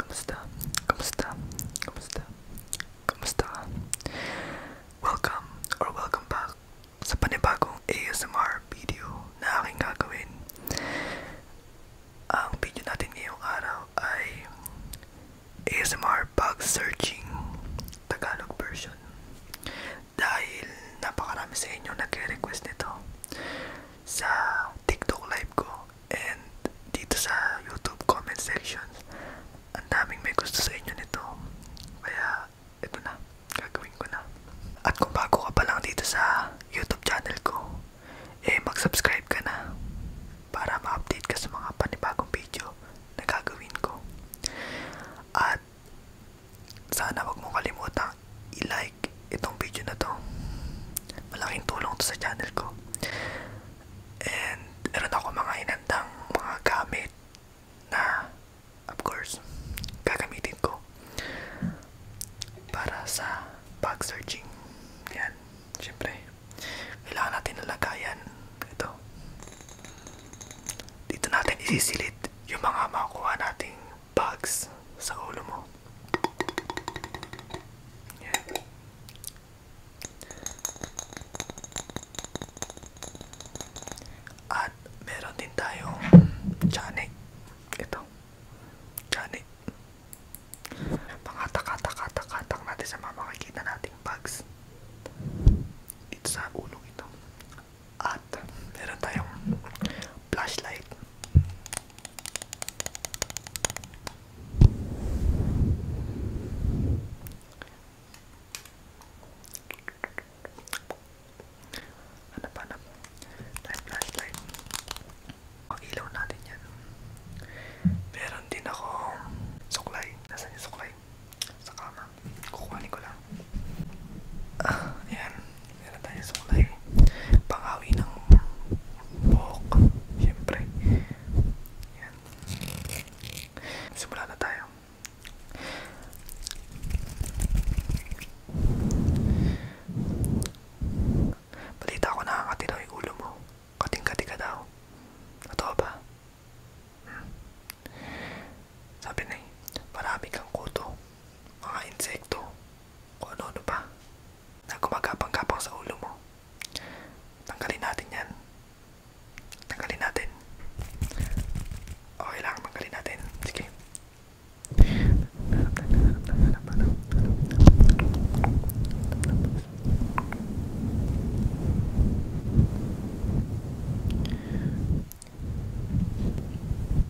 Kamusta? Kamusta? Kamusta? Kamusta? Welcome or welcome back sa panibagong ASMR video na aking gagawin. Ang video natin ngayong araw ay ASMR bug searching Tagalog version. Dahil napakarami sa inyo nagre-request nito sa TikTok live ko and dito sa YouTube comment sections. Ang daming may gusto sa inyo nito. Kaya ito na, gagawin ko na. At kung bago ka pa lang dito sa YouTube channel ko, eh mag-subscribe ka na para ma-update ka sa mga panibagong video na gagawin ko. At sana wag mo kalimutang i-like like itong video na to. Malaking tulong to sa channel ko. And meron ako mga inandang mga gamit na of course gagamitin ko para sa bag searching. Yan, syempre. Kailangan natin nalagayan ito. Dito natin isisilid yung mga makukuha nating bags sa ulo mo. Yeah. At meron din tayong Janik. Ito. Janik. Pangatak-atak-atak-atak natin sa mga makikita nating bags. Ito sa ulong ito. At meron tayong flashlight. Hanap, hanap. Light, light, oh, light. Ang ilaw natin yan. Meron din ako suklay. Nasaan yung suklay? Sa kama. Kukuhanin ko lang. Ah, ayan meron tayong sulay pangawi ng buhok syempre yan simula na tayo balita ko nakakati daw yung ulo mo kating-kati ka daw totoo ba? Hmm. sabi na eh marami kang kuto mga insekto kung ano-ano pa na gumagapang-gapang sa ulo mo. Tanggalin natin yan. Tanggalin natin. Okay lang, tanggalin natin. Sige.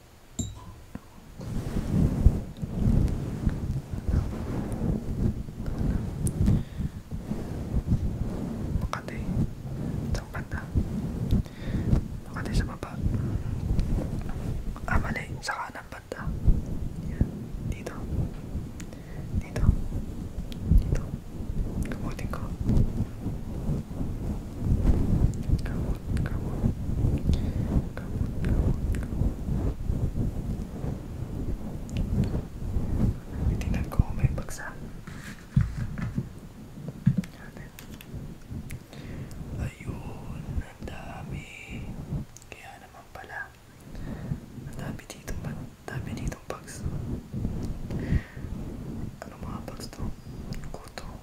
Makati. Saan banda? Makati sa baba. Ah, mali. Sa kanan banda. Yan. Dito. Dito. Dito. Gamutin ko. Come on, come on. Come on, come on, come on. Tingnan ko kung may bagsak. Atin. Ayun, ang dami. Kaya naman pala. Ang dami dito, ang dami dito bugs. Ano mga bugs to? Kuto.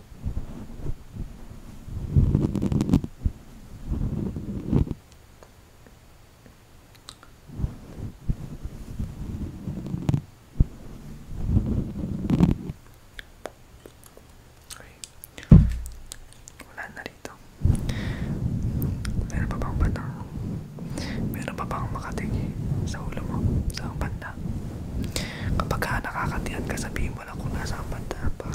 Okay. Wala na rito. Meron pa bang batang? Meron pa bang makatingi sa ulo mo? Sa banda? Kapag ka nakakatihan ka, sabihin mo lang kung nasa banda para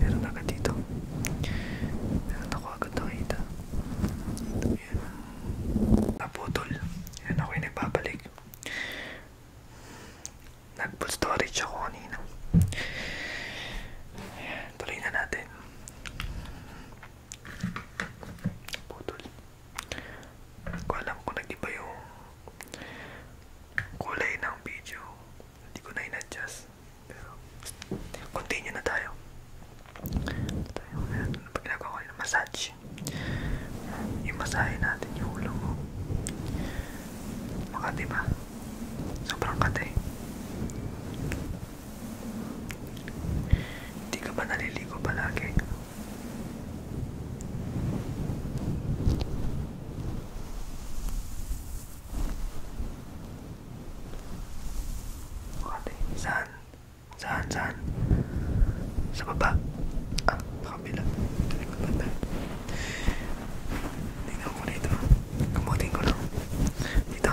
Meron na agad dito. Meron ako agad nakita. Ito yan. Naputol. Yan ako yung nagbabalik. Nag-full storage ako kanina. Ayan, tuloy na natin. Putol. Hindi ko alam kung nag-iba yung kulay ng video. Hindi ko na in-adjust. Pero, continue na tayo. tayo. Ayan, pag ginagawa ko yung massage. Yung masahe natin yung ulo mo. Makati ba? Sobrang kate. Hindi ka ba naliligo palagi? Okay, saan? Saan, saan? Sa baba? Ah, sa kabila. Tingnan ko dito. Kamutin ko lang. Dito.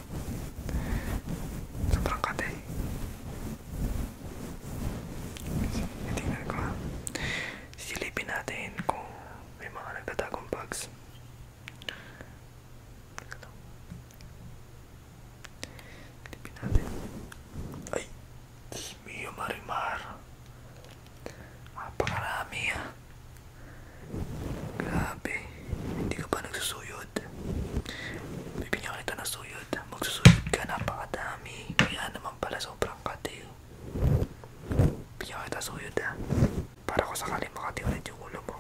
Sobrang kate. Itingnan ko ha. Silipin natin kung may mga nagtatagong bugs. Silipin natin. Ay! Miyo Marimar. Napakarami ha. Grabe, hindi ka pa nagsusuyod. Bibigyan kita ng suyod. Magsusuyod ka, napakadami. Kaya naman pala sobrang kati. Bibigyan kita suyod ha. Ah. Para ko sakaling makati ulit yung ulo mo.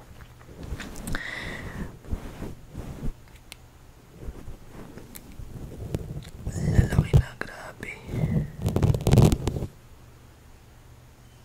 Lalaki na, grabe.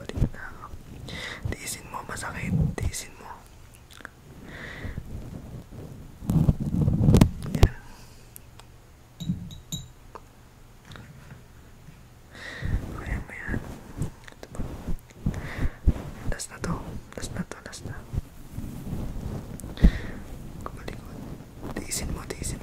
Balik na ako. Tiisin mo, masakit. Tiisin mo. Yan. Kaya mo yan. Ito to. Last to. Last na. Kumalikot. Tiisin mo. Tiisin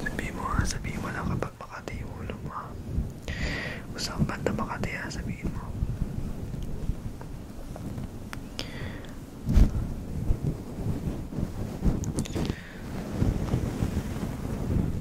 Sabi mo ha, sabi mo lang kapag makati yung ulo mo ha. Gusto kang banda makati ha, sabihin mo.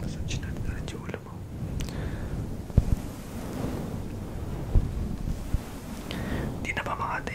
Massage natin ulit yung ulo mo. Hindi na ba mga ate?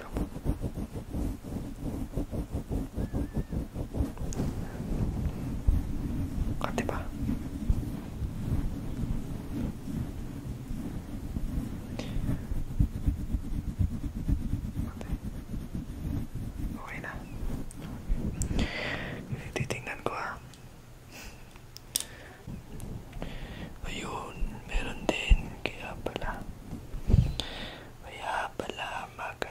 gitu ngerti pak oke gua ayun meron din kaya pala kaya pala mag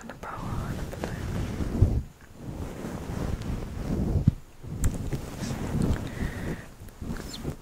And a bow on a balloon. Looks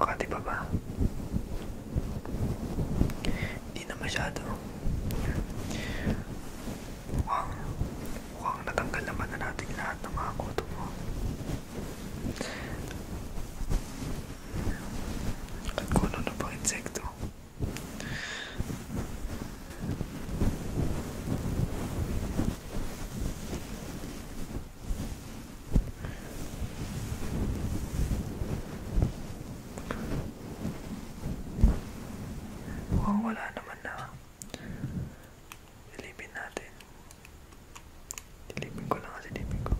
Makati pa ba? Hindi na masyado. Mukhang, mukhang natanggal naman na natin lahat ng mga kuto mo. At kung ano na pang insekto. Mukhang wala naman na. Dilipin natin. Dilipin ko lang kasi dilipin ko.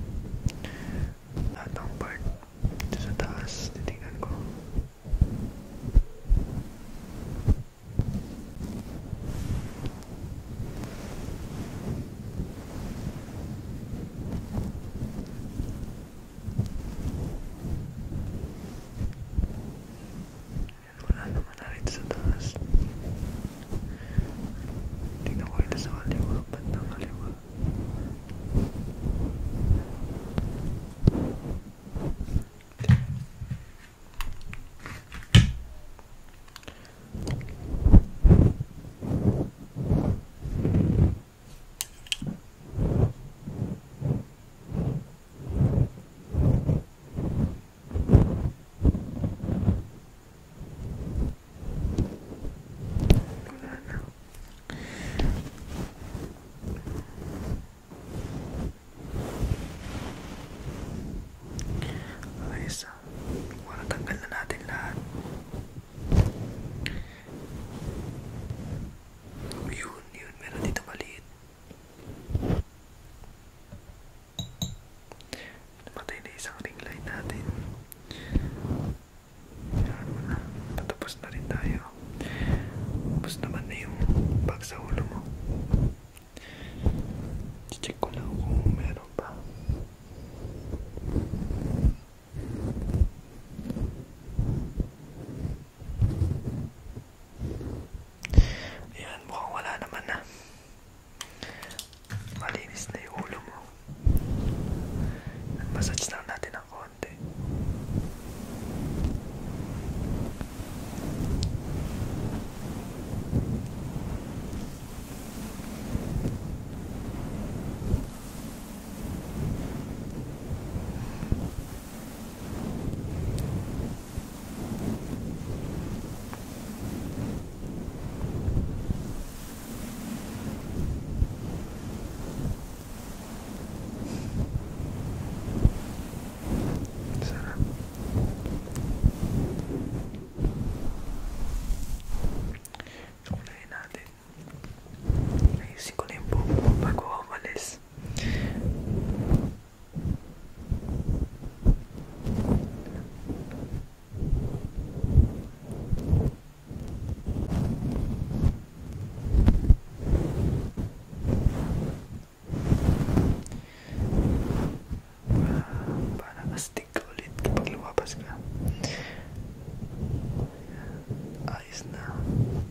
Lahat ng part dito sa taas, titingnan ko. Yan, wala naman na rin sa taas. Tingnan ko ito sa kaliwa. Ba't ng kaliwa? Ayan. Ayos ah. Para tanggal na natin lahat. Yun, yun. Meron dito maliit. Namatay na isang ring light natin. Yan mo na. Patapos na rin tayo. Tapos naman na yung bag sa ulo mo. Check ko lang kung meron pa. Ayan, mukhang wala naman na. Malinis na yung ulo mo. Massage lang natin ng konti. Sarap. Unahin natin. Ayusin ko na yung buhok mo bago ako umalis. para astig ulit kapag lumabas ka ayos na